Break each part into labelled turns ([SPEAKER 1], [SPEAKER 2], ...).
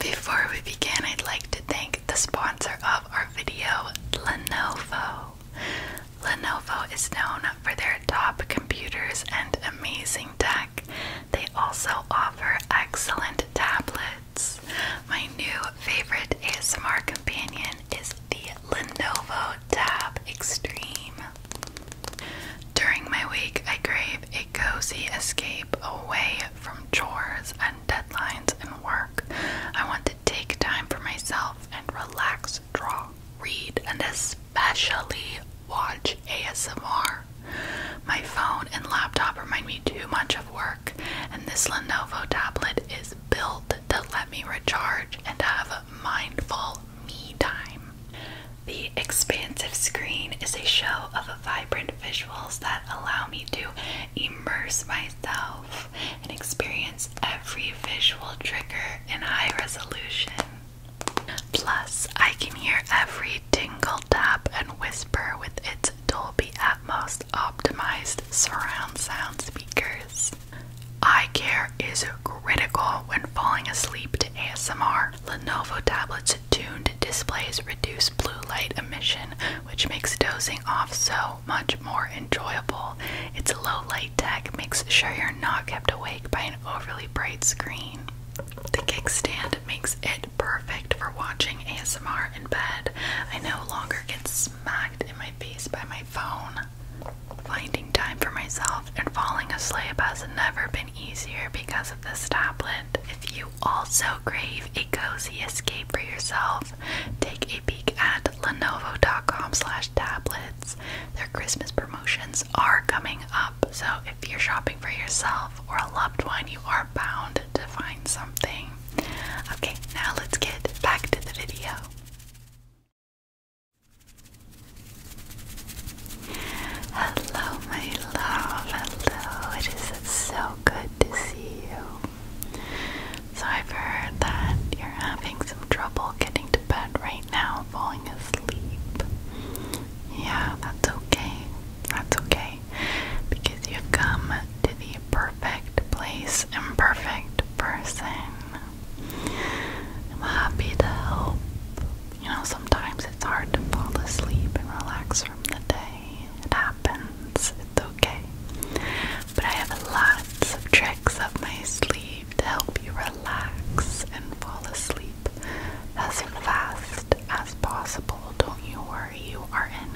[SPEAKER 1] Before we begin, I'd like to thank the sponsor of our video, Lenovo. Lenovo is known for their top computers and amazing tech. They also offer excellent tablets. My new favorite ASMR companion is the Lenovo Tab Extreme. During my week, I crave a cozy escape away from chores and deadlines and work. I want to take time for myself and relax, draw, read, and especially watch ASMR. My phone and laptop remind me too much of work, and this Lenovo tablet is built to let me recharge and have mindful me time. The expansive screen is a show of vibrant visuals that allow me to immerse myself and experience every visual trigger in high resolution. Plus, I can hear every tingle, tap, and whisper with its Dolby Atmos optimized surround sound speakers. Eye care is critical when falling asleep to ASMR. Lenovo tablets' tuned displays reduce blue light emission, which makes dozing off so much more enjoyable. Its low light tech makes sure you're not kept awake by an overly bright screen. The kickstand makes it perfect for watching ASMR in bed. I no longer get smacked in my face by my phone. Finding time for myself and falling asleep has never been easier because of this tablet. If you you also crave a cozy escape for yourself. Take a peek at lenovo.com slash tablets. Their Christmas promotions are coming up, so if you're shopping for yourself or a loved one, you are bound to find something. Okay, now let's get back to the video. Hello, my love. Hello. It is so good to see you. So, I've heard that you're having some trouble getting to bed right now, falling asleep. Yeah, that's okay. That's okay. Because you've come to the perfect place and perfect person. I'm happy to help. You know, sometimes it's hard to fall asleep and relax from the day. It happens. It's okay. But I have lots of tricks up my sleeve to help you relax and fall asleep as fast as possible. Don't you worry. You are in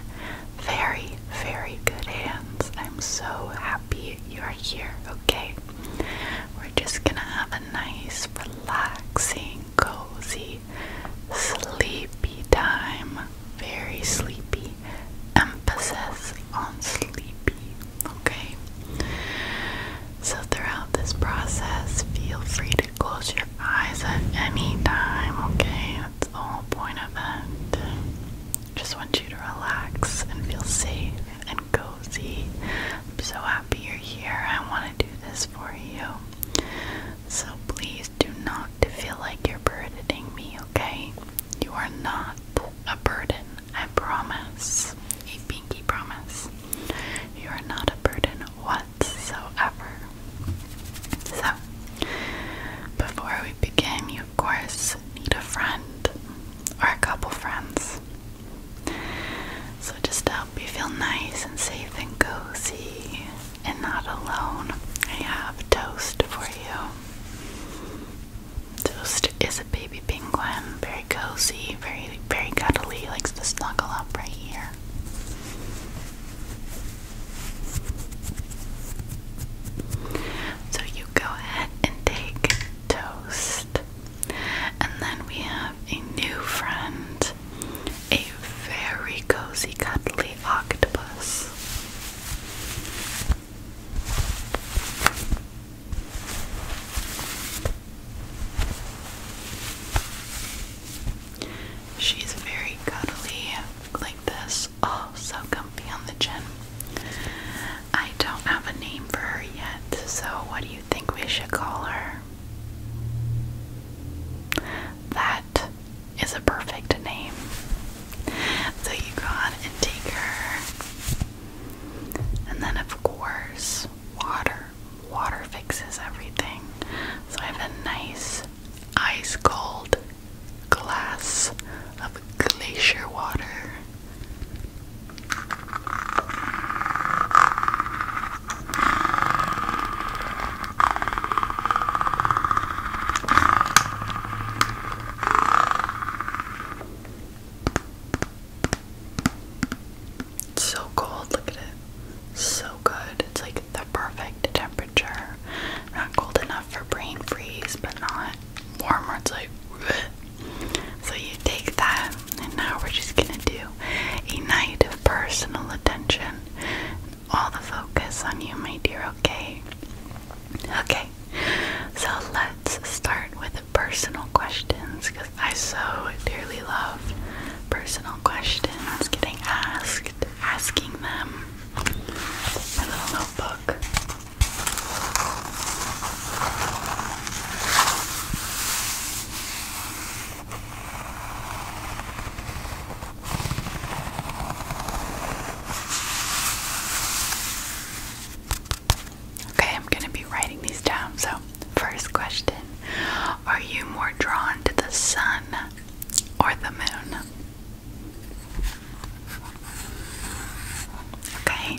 [SPEAKER 1] very, very good hands. I'm so happy you're here, okay? We're just gonna have a nice, relaxing cozy, sleepy time. Very sleepy. Emphasis on sleepy. Okay? So, throughout this process, feel free to close your eyes at any time. Okay? That's the whole point of that. Just want you to relax and feel safe and cozy. I'm so happy you're here. I want to do this for you. So please do not feel like you're burdening me, okay? You are not a burden, I promise. A pinky promise. You are not a burden whatsoever. So, before we begin, you of course need a friend or a couple friends. So, just to help you feel nice and safe and cozy and not alone, I have toast for you. Toast is a baby penguin, very cozy, very, very cuddly, likes to snuggle up right here. So, you go ahead and take toast. And then we have a new friend a very cozy, cuddly octopus. She's very cuddly, like this. Oh, so comfy on the chin. I don't have a name for her yet, so what do you think we should call her? That is a perfect name. So you go on and And then, of course, water. Water fixes everything. So I have a nice ice cold glass of glacier water. It's so cold, look at it. So good. It's like the perfect temperature. Not cold enough for brain freeze, but not warmer. It's like So you take that, and now we're just gonna do a night of personal attention all the focus on you, my dear, okay? Okay, so let's start with personal questions because I so dearly love personal questions, getting asked, asking them. My little notebook. Okay, I'm going to be writing these down. So, first question Are you more drawn to the sun or the moon? Okay.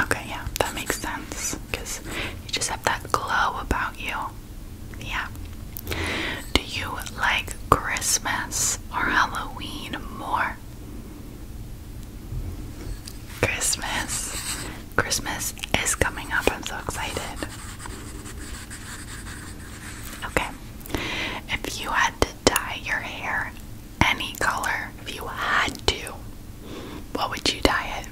[SPEAKER 1] Okay, yeah, that makes sense because you just have that glow about you. Yeah. Do you like Christmas or Halloween more? Christmas. Christmas is coming up. I'm so excited. Okay. If you had to dye your hair any color, if you had to, what would you dye it?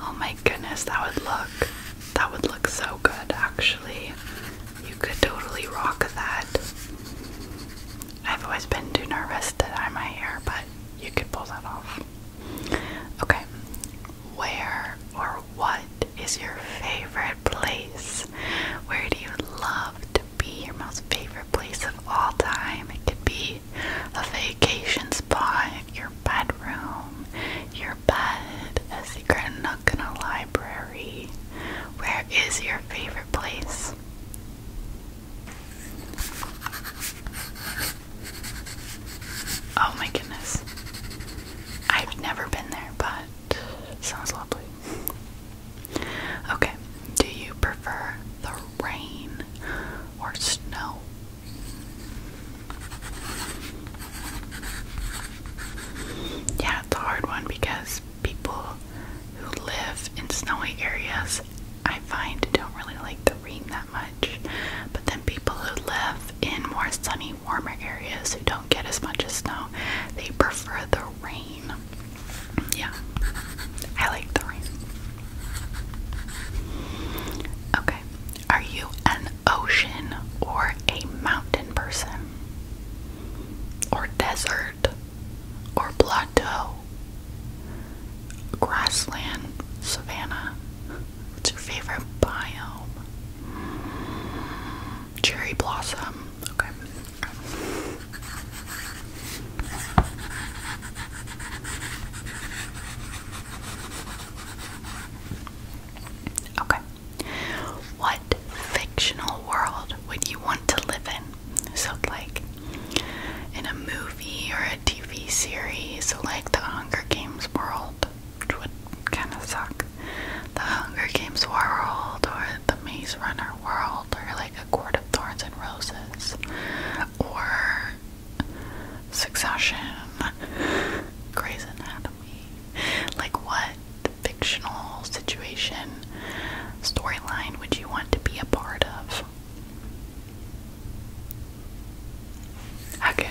[SPEAKER 1] Oh my goodness, that would look that would look so good actually. You could totally rock that. I've always been too nervous to dye my hair, but you could pull that off. Okay. Where or what is your favorite place? Where do you love to? be your most favorite place of all time. It could be a vacation spot, your bedroom, your bed, a secret nook in a library. Where is your favorite place? Oh my goodness. I've never been there, but sounds lovely. Okay, do you prefer the rain or snow? Yeah, it's a hard one because people who live in snowy areas I find don't really like the rain that much. But then people who live in more sunny, warmer areas who don't get as much snow, they prefer the rain. Yeah, I like the rain. Okay, are you an ocean or a mountain person? Or desert? Or plateau? Grassland? Savannah? What's your favorite biome? cherry blossom. Okay. Okay. What fictional world would you want to live in? So, like, in a movie or a TV series, like the Hunger Games world, which would kind of suck the Hunger Games world or the Maze Runner world or like A Court of Thorns and Roses or Succession, Grey's Anatomy. Like, what fictional situation, storyline would you want to be a part of? Okay.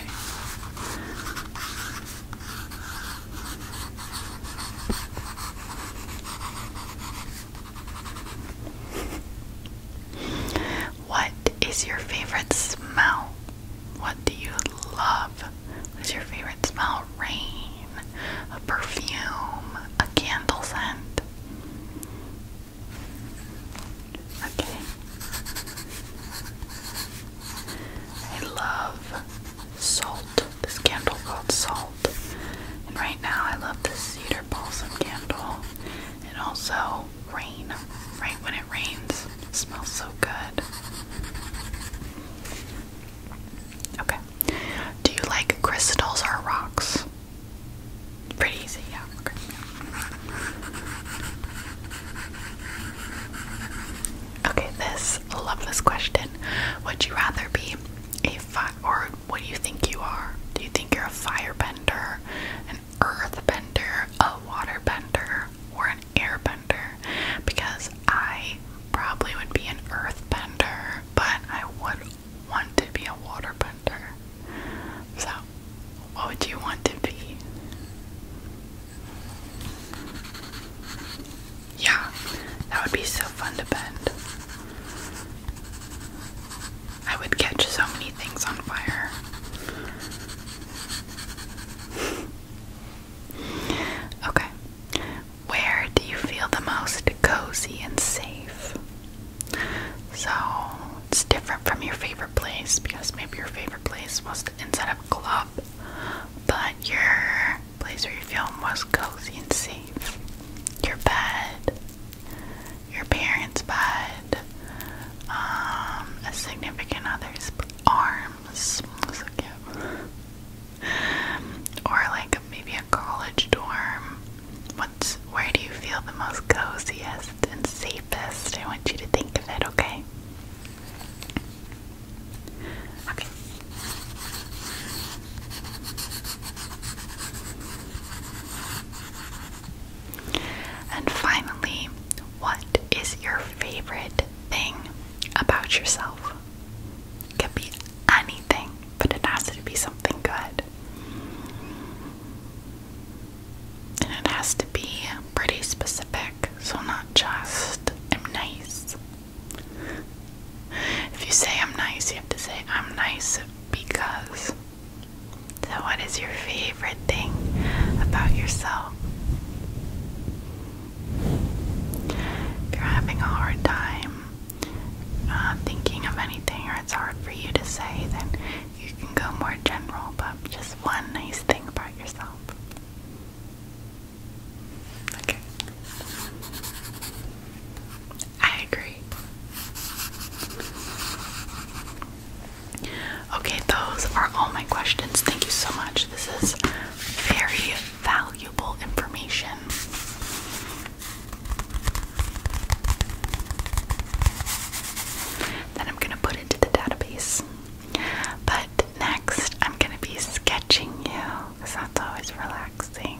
[SPEAKER 1] What is your favorite smell? What do you love? What is your favorite smell? Rain, a perfume, a candle scent. Okay. I love salt this candle called Salt. And right now I love this cedar balsam candle and also rain. Right when it rains, smells so good. Okay. Do you like crystals or rocks? Pretty easy, yeah. Okay. Okay, this this. Love this question. Would you rather be a fire, or what do you think you are? Do you think you're a firebender, an earthbender, a waterbender, or an airbender? Because I probably would be an earthbender, but I would want to be a waterbender. So, what would you want to be? Yeah, that would be so fun to bend. I would catch so many things on fire. okay. Where do you feel the most cozy and safe? So, it's different from your favorite place because maybe your favorite place was the inside of a club, but you're place where you feel most cozy and safe. Your bed, your parents' bed, um, a significant other's arms. So cute. Or like maybe a college dorm. What's where do you feel the most coziest and safest? I want you to think of it, okay? Okay. And finally, what is your favorite thing about yourself? It can be anything, but it has to be something good. And it has to be pretty specific, so not just I'm nice if you say I'm nice, you have to say I'm nice because. So, what is your favorite thing about yourself? If you're having a hard time uh, thinking of anything or it's hard for you to say, then you can go more general, but just one nice thing about yourself. Okay. I agree. Okay, those are all my questions. Thank you so much. This is very valuable information. Then I'm going to put into the database. But next, I'm going to be sketching you because that's always relaxing.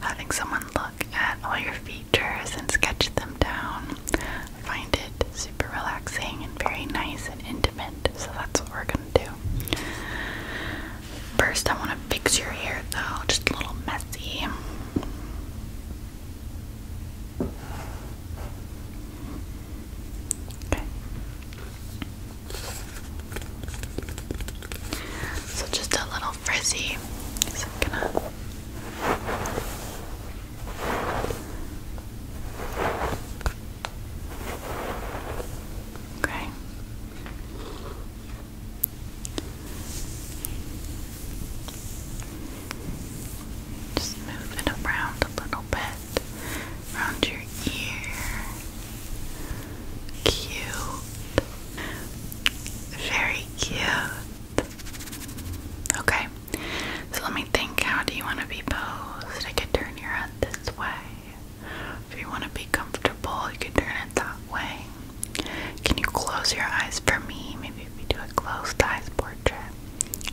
[SPEAKER 1] Having someone look at all your features and sketch them down, find it super relaxing and very nice and intimate, so that's what we're gonna do. First, I want to fix your hair though, just a little messy. Okay. So just a little frizzy. Okay. Just move around a little bit around your ear. Cute. Very cute. Okay. So let me think, how do you want to be posed? I could turn your head this way. If you want to be comfortable, you can turn it that way. Can you close your eyes for me? Maybe we do a closed eyes portrait.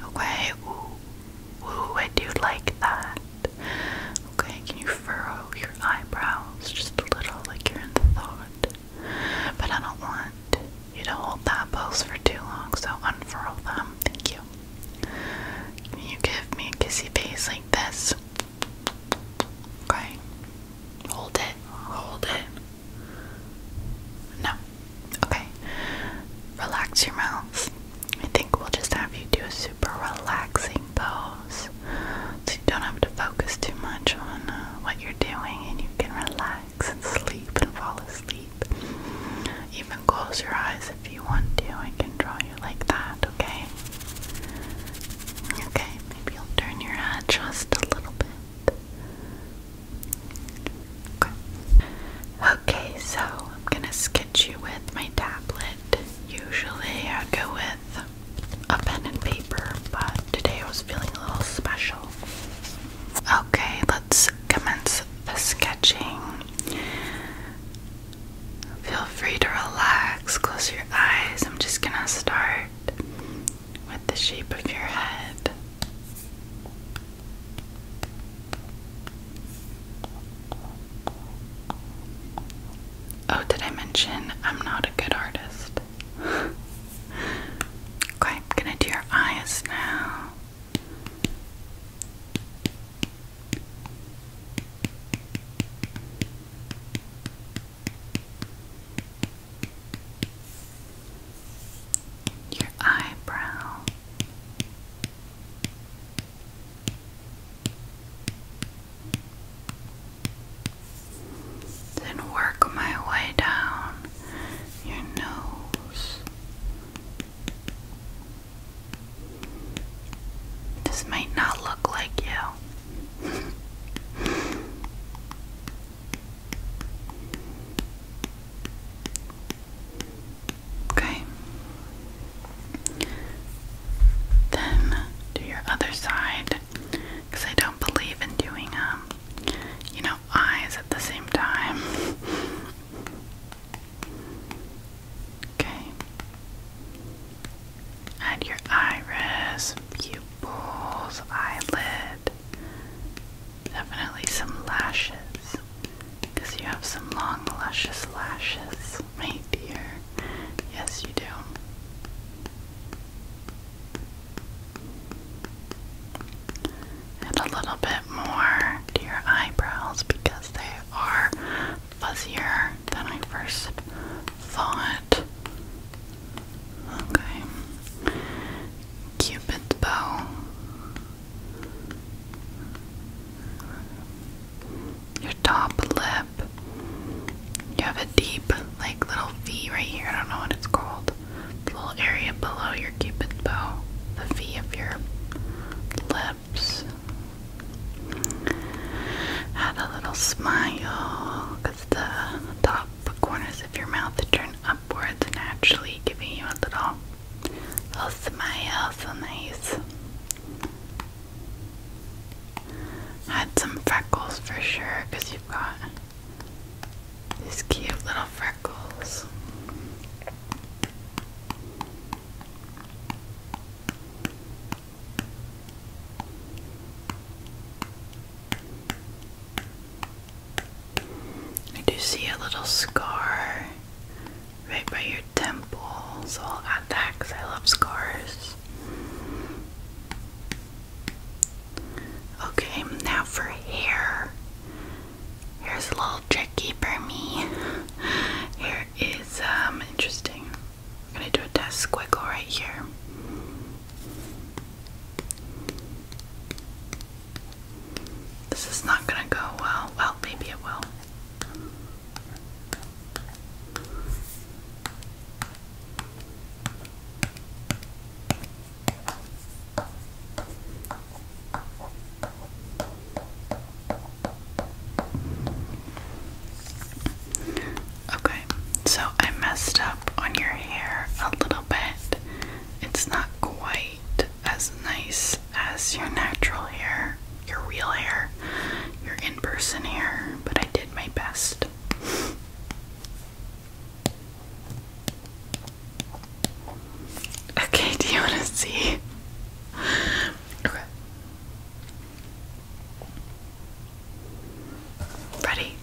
[SPEAKER 1] Okay. Ooh, ooh, I do like that. Okay, can you furrow your eyebrows just a little like you're in thought? But I don't want you to hold that pose for too long, so unfurl them. Thank you. Can you give me a kissy face like this? Okay. Hold it. Hold it. No. Okay. Relax your mouth. I think we'll just have you do a super relaxing pose so you don't have to focus too much on uh, what you're doing and you can relax and sleep and fall asleep. Even close your eyes if you want to. I can draw you like that, okay? Okay, maybe you'll turn your head just a little bit. Okay. Okay, so I'm gonna sketch you with my tablet. Usually I go with a pen and paper, but today I was feeling a little special. Okay, let's commence the sketching. Feel free to relax, close your eyes. I'm just gonna start with the shape of your head. Oh, did I mention I'm not a good artist? okay, I'm gonna do your eyes now. Your eyebrow. Then work my way down your nose. This might not look like you. Okay. Then do your other side because I don't believe in doing um you know eyes at the same time. Okay. Add your iris, pupils, eyelid. Definitely some lashes. Because you have some long, luscious lashes, my dear. Yes, you do. And a little bit more to your eyebrows because they are fuzzier than I first thought. Okay. Cupid's bow your top lip. You have a deep, like, little V right here. I don't know what it's called. The little area below your cupid's bow. The V of your lips. Add a little smile, because the top corners of your mouth turn upwards naturally, giving you a little, little smile. So nice. Had some freckles for sure, because you've got these cute little freckles. I do see a little scar right by your temple. So I'll add I love scars. Okay, now for hair. Hair's a little tricky for me. Hair is um interesting. I'm gonna do a test squiggle right here. This is not gonna go well. Well, maybe it will. Okay, so I messed up on your hair a little bit. It's not quite as nice as your natural hair, your real hair, your in person hair, but I did my best. Okay, do you want to see? Okay. Ready?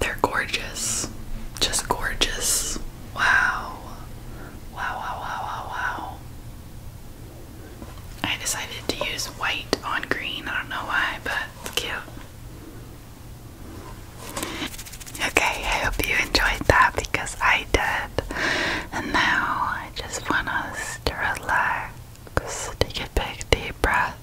[SPEAKER 1] They're gorgeous. Just gorgeous. Wow. Wow, wow, wow, wow, I decided to use white on green. I don't know why, but it's cute. Okay, I hope you enjoyed that because I did. And now I just want us to relax. Take a big deep breath.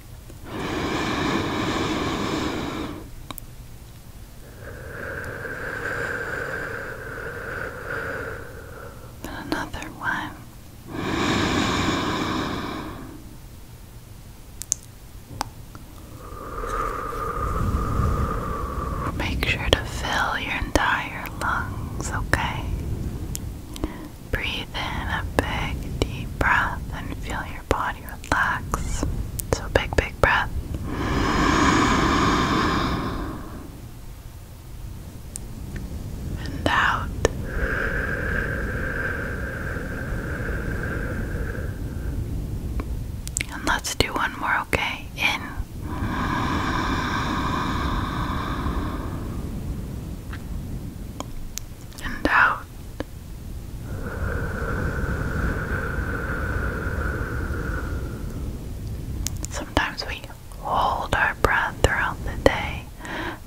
[SPEAKER 1] And another one. Make sure to fill your entire lungs, okay? Breathe in a big deep breath and feel your your body relax. So, big, big breath. And out. And let's do one more, okay? In. And out. Sometimes we hold our breath throughout the day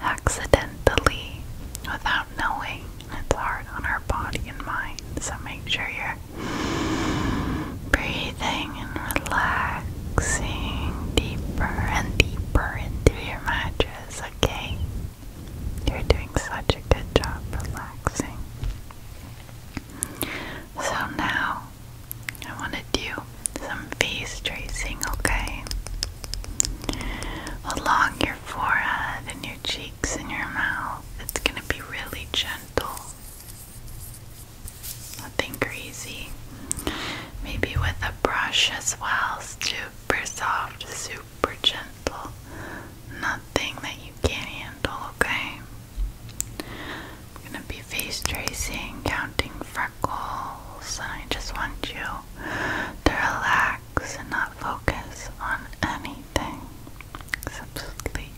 [SPEAKER 1] accidentally without knowing. It's hard on our body and mind, so make sure you're breathing and relaxing deeper and deeper into your mattress, okay? You're doing such a good job relaxing. So now I want to do some face tracing, okay? Along your forehead and your cheeks and your mouth. It's going to be really gentle. Nothing crazy. Maybe with a brush as well, super soft, super super gentle. Nothing that you can't handle, okay? I'm gonna be face tracing, counting freckles, and I just want you to relax and not focus on anything except sleep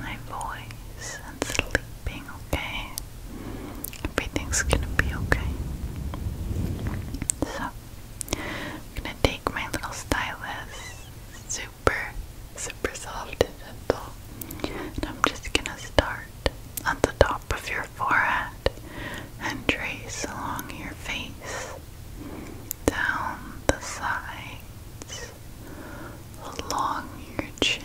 [SPEAKER 1] my voice and sleeping, okay? Everything's gonna be okay. So I'm gonna take my little stylus, super, super soft and and I'm just gonna start at the top of your forehead and trace along your face, down the sides, along your chin,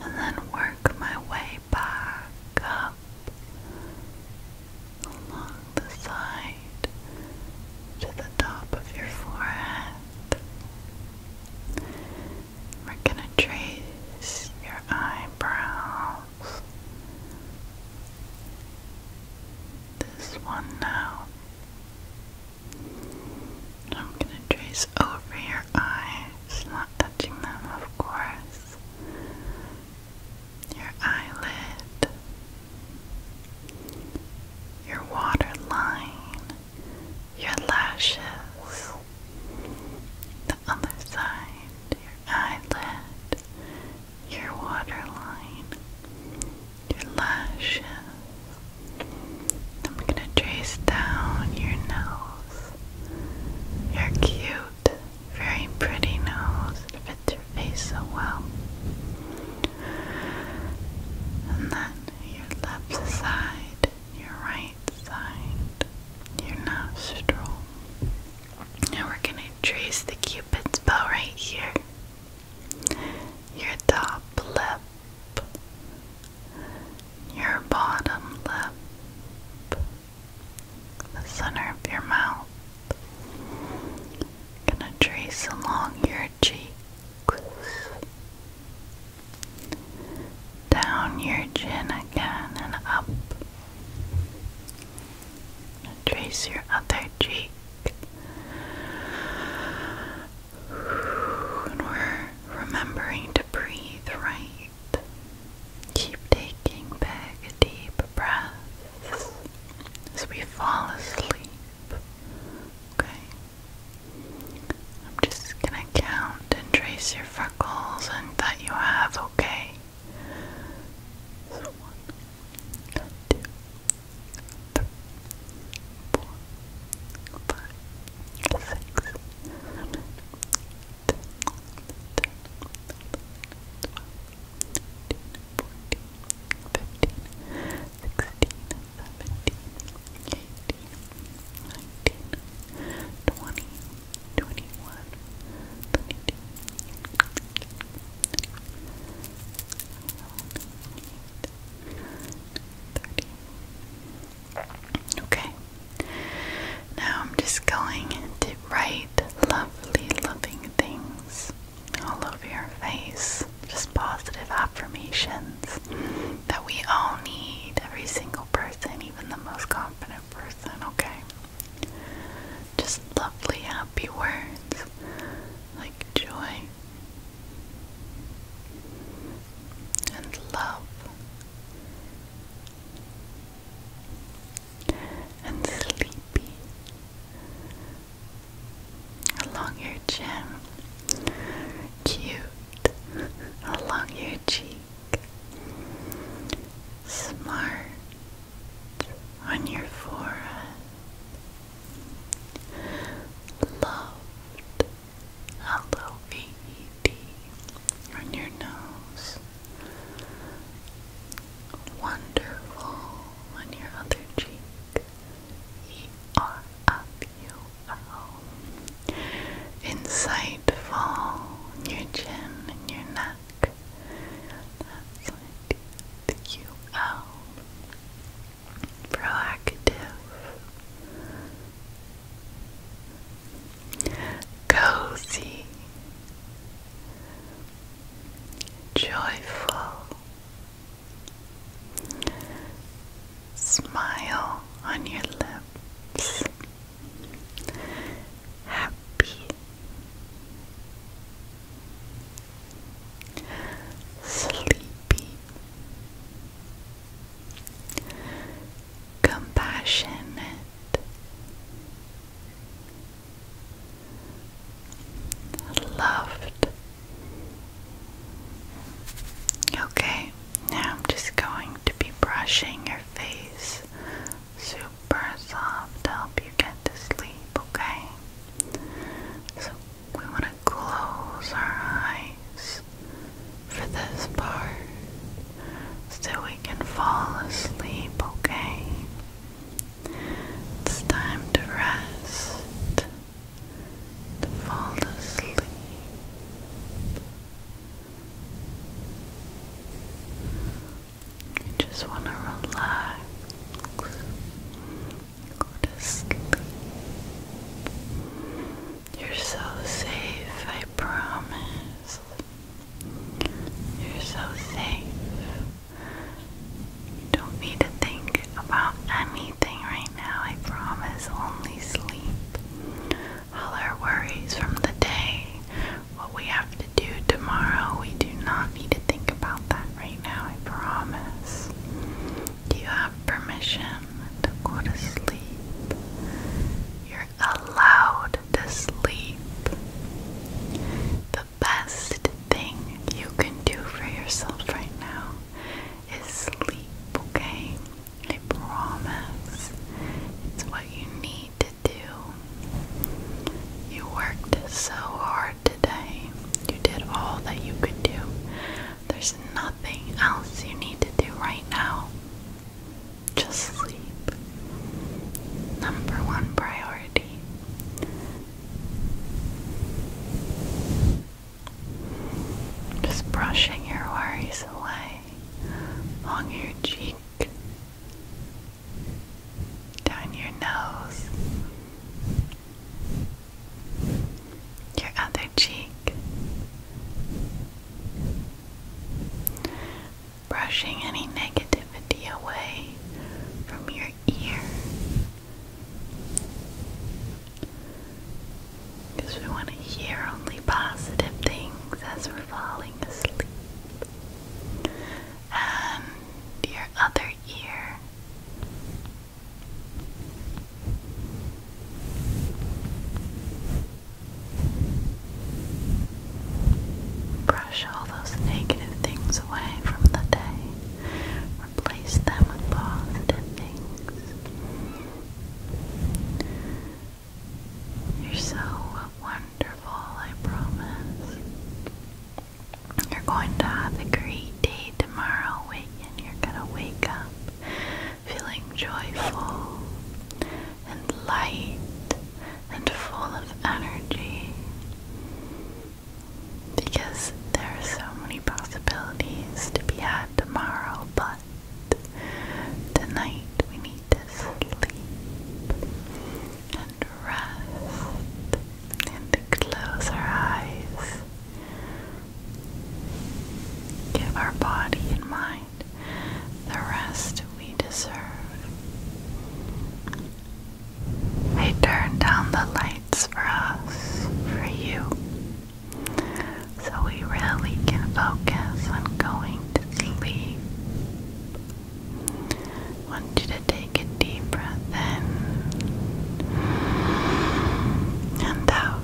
[SPEAKER 1] and then work my way back up along the side to the top of your forehead. We're going to trace your eyebrows. This one now. I'm going to trace over your eyes, not touching them, of course your eyelid, your waterline, your lashes, the other side, your eyelid, your waterline, your lashes. I'm going to trace down your nose, your cupid cute, very pretty nose. It fits your face so well. And then your left side, your right side, your nostril. Now we're going to trace the cupid's bow right here. Your top lip, your bottom lip, the center of your mouth. Gonna trace along your cheeks, down your chin again, and up. going trace your other cheek. And we're remembering to breathe right. Keep taking back deep breaths as we fall asleep. Okay. I'm just gonna count and trace your freckles and that you have, okay? So one, two, three, four, five, six, seven, eight, nine, ten, eleven, twelve, 13, 14, 15, 16, 17, 18, 19, 20, 21, 22, 30. Okay. Now I'm just going to write lovely, loving things all over your face, just positive affirmations that we all need, every single person, even the most confident person, okay? Just lovely, happy words like joy and love and sleepy. Along your chin, cute, along your cheek, smart on your forehead, loved, L-O-V-E-D on your nose. Wonderful on your other cheek. E R F U L. Insightful in your chin and your neck. That's Proactive. Cozy joyful. Smile on your lips. Happy. Sleepy. Compassionate. Loved. Okay, now I'm just going to be brushing your face super soft to help you get to sleep, okay? So we want to close our eyes for this part so we can fall asleep, okay? It's time to rest, to fall asleep. You just want to relax, go to sleep. You're so safe, I promise. You're so safe. You don't need to think about anything right now, I promise. Only sleep. All our worries from the day, what we have to do tomorrow, we do not need to think about that right now, I promise. Do you have permission to go to sleep? You're allowed to sleep. The best thing you can do for yourself right now is sleep, okay? I promise. It's what you need to do. You worked so hard today. You did all that you could do. There's nothing else you need to do right now. Just sleep. Number one priority. Just brushing your worries away on your cheek, down your nose, your other cheek brushing any negativity away from your ear. Because we want to hear only positive things as we're falling asleep. And your other ear. Brush all those negative things away from the day. Replace them with positive things. You're so wonderful, I promise. You're going to have a great day tomorrow, and you're going to wake up feeling joyful, and light and full of energy because there are so many possibilities to be had tomorrow, but tonight we need to sleep and rest and close our eyes. Give our body and mind the rest we deserve. They turned down the lights for us, for you, so we really can focus on going to sleep. want you to take a deep breath in and out.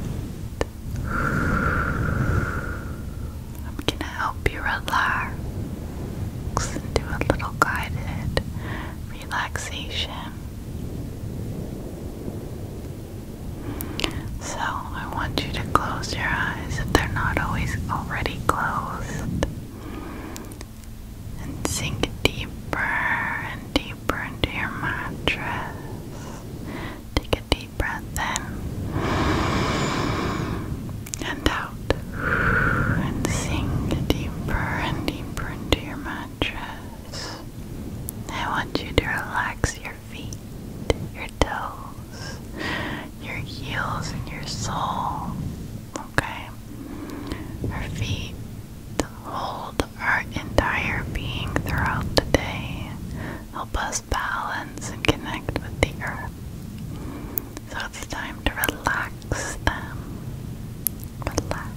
[SPEAKER 1] I'm going to help you relax and do a little guided relaxation. So, I want you to close your eyes if they're not always already closed and sink deeper and deeper into your mattress. Take a deep breath in and out. And sink deeper and deeper into your mattress. I want you to relax your feet, your toes, your heels, and your sole. Okay? Our feet hold our entire being throughout the day, help us balance and connect with the earth. So it's time to relax Relax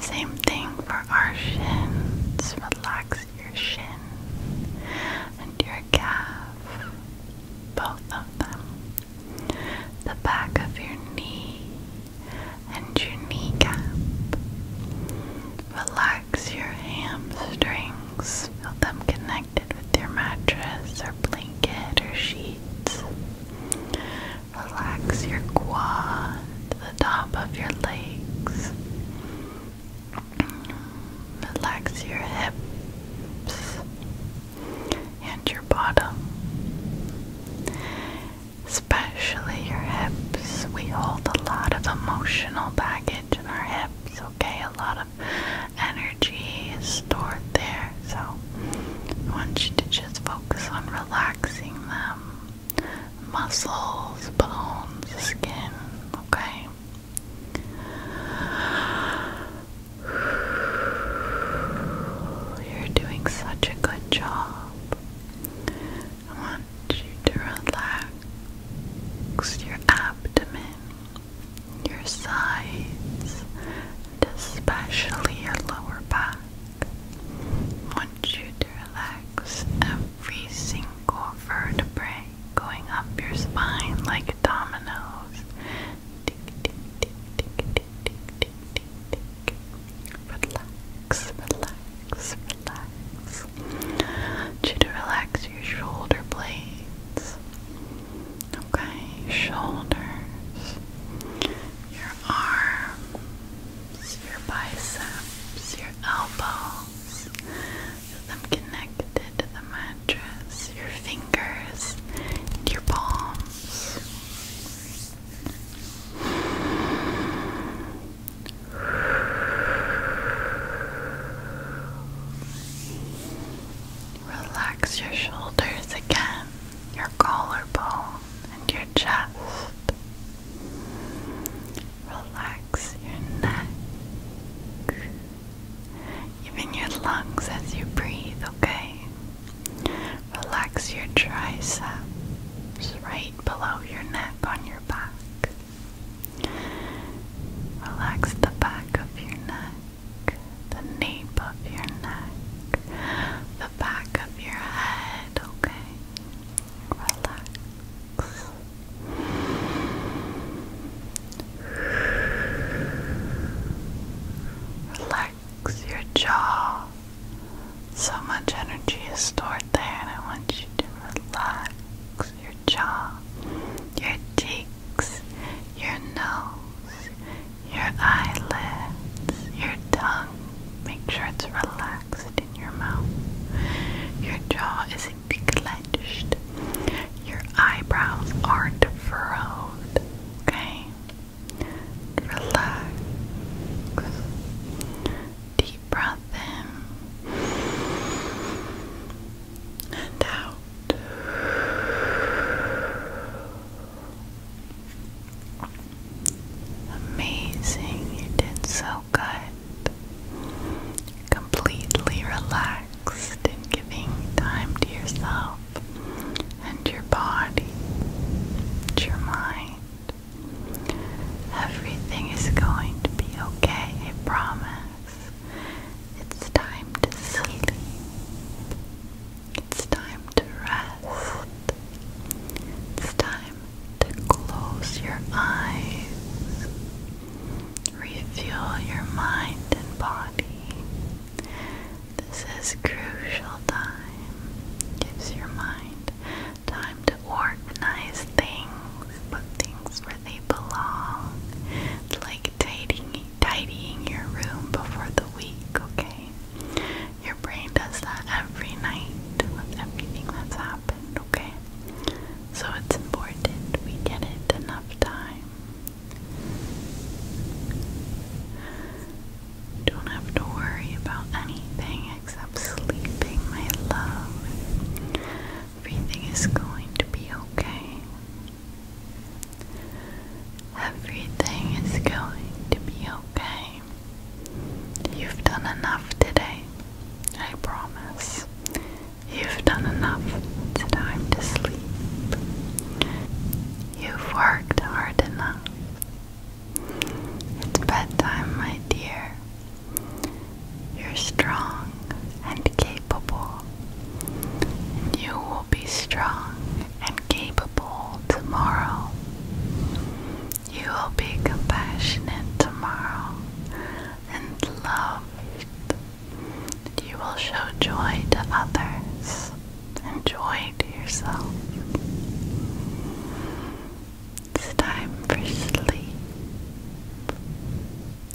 [SPEAKER 1] Same thing for our shins. Relax your shin and your calf. Both of them. The back of your knee and your kneecap. Relax your hamstrings. Feel them connect with your mattress or blanket or sheets. Relax your quad, the top of your legs. Relax your hips and your bottom. Especially your hips. We hold a lot of emotional baggage in our hips, okay? A lot of energy is stored there. So I want you to just focus on relaxing them muscles, bones, skin, okay? You're doing such a good job. I want you to relax your abdomen, your sides, especially your lower back. want you to relax every single vertebrae going up your spine like dominoes. Tick, Relax, relax, relax. want you to relax your shoulder blades. Okay, shoulders, your arms, your biceps, your elbows. Get them connected to the mattress, your fingers, your palms. Relax your shoulders again, your collarbone, and your chest. Relax your neck, even your lungs as you breathe, okay? Relax your triceps right below your neck on your back. Relax the back of your neck, the nape of your neck, the back of your head, okay? Relax. Relax your jaw. So much energy is stored there, and I want you to relax your jaw, your cheeks, your nose, your eyelids, your tongue. Make sure it's relaxed in your mouth. Your jaw isn't clenched. Your eyebrows aren't furrowed. Okay? Relax. Deep breath in and out. Amazing, you did so good. Completely relaxed and giving time to yourself and your body, your mind. Everything is going to be okay, I promise. It's time to sleep. It's time to rest. It's time to close your eyes. Refuel your mind and body. This is crucial time. Gives your mind time to organize things put things where they belong. like tidying, tidying your room before the week, okay? Your brain does that every night with everything that's happened, okay? So it's important we get it enough time. Don't have to worry about anything except sleeping, my love. Everything is going to be okay. Everything is going to be okay. You've done enough today. I promise. You've done enough. It's time to sleep. You've worked hard enough. It's bedtime, my dear. You're strong and capable. And you will be strong and capable tomorrow. You will be compassionate tomorrow and loved. You will show joy to others and joy to yourself. It's time for sleep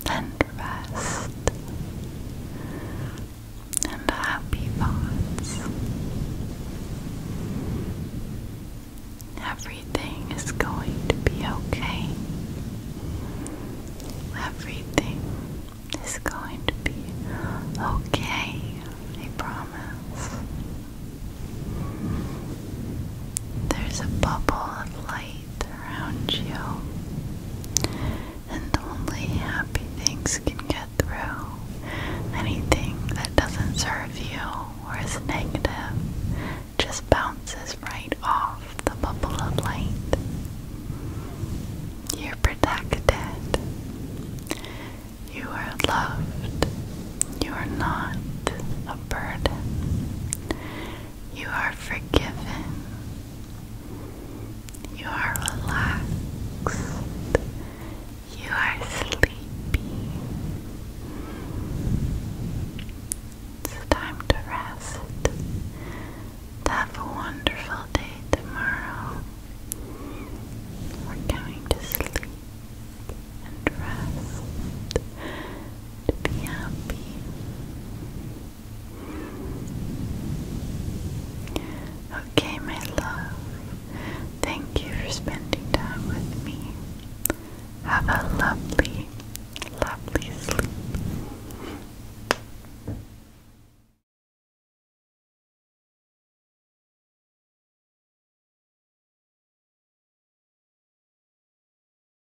[SPEAKER 1] and rest and happy thoughts. Everything is going to be okay. Everything is going to be okay, I promise. There's a bubble of light around you. And only happy things can get through. Anything that doesn't serve you or is negative just bounces right off the bubble of light. You're protected. You are loved. You are not a burden. You are forgiven. You are relaxed. You are sleepy. It's time to rest. have a wonderful day tomorrow. We're going to sleep and rest to be happy. Okay, my love, thank you for spending time with me. Have a lovely, lovely sleep.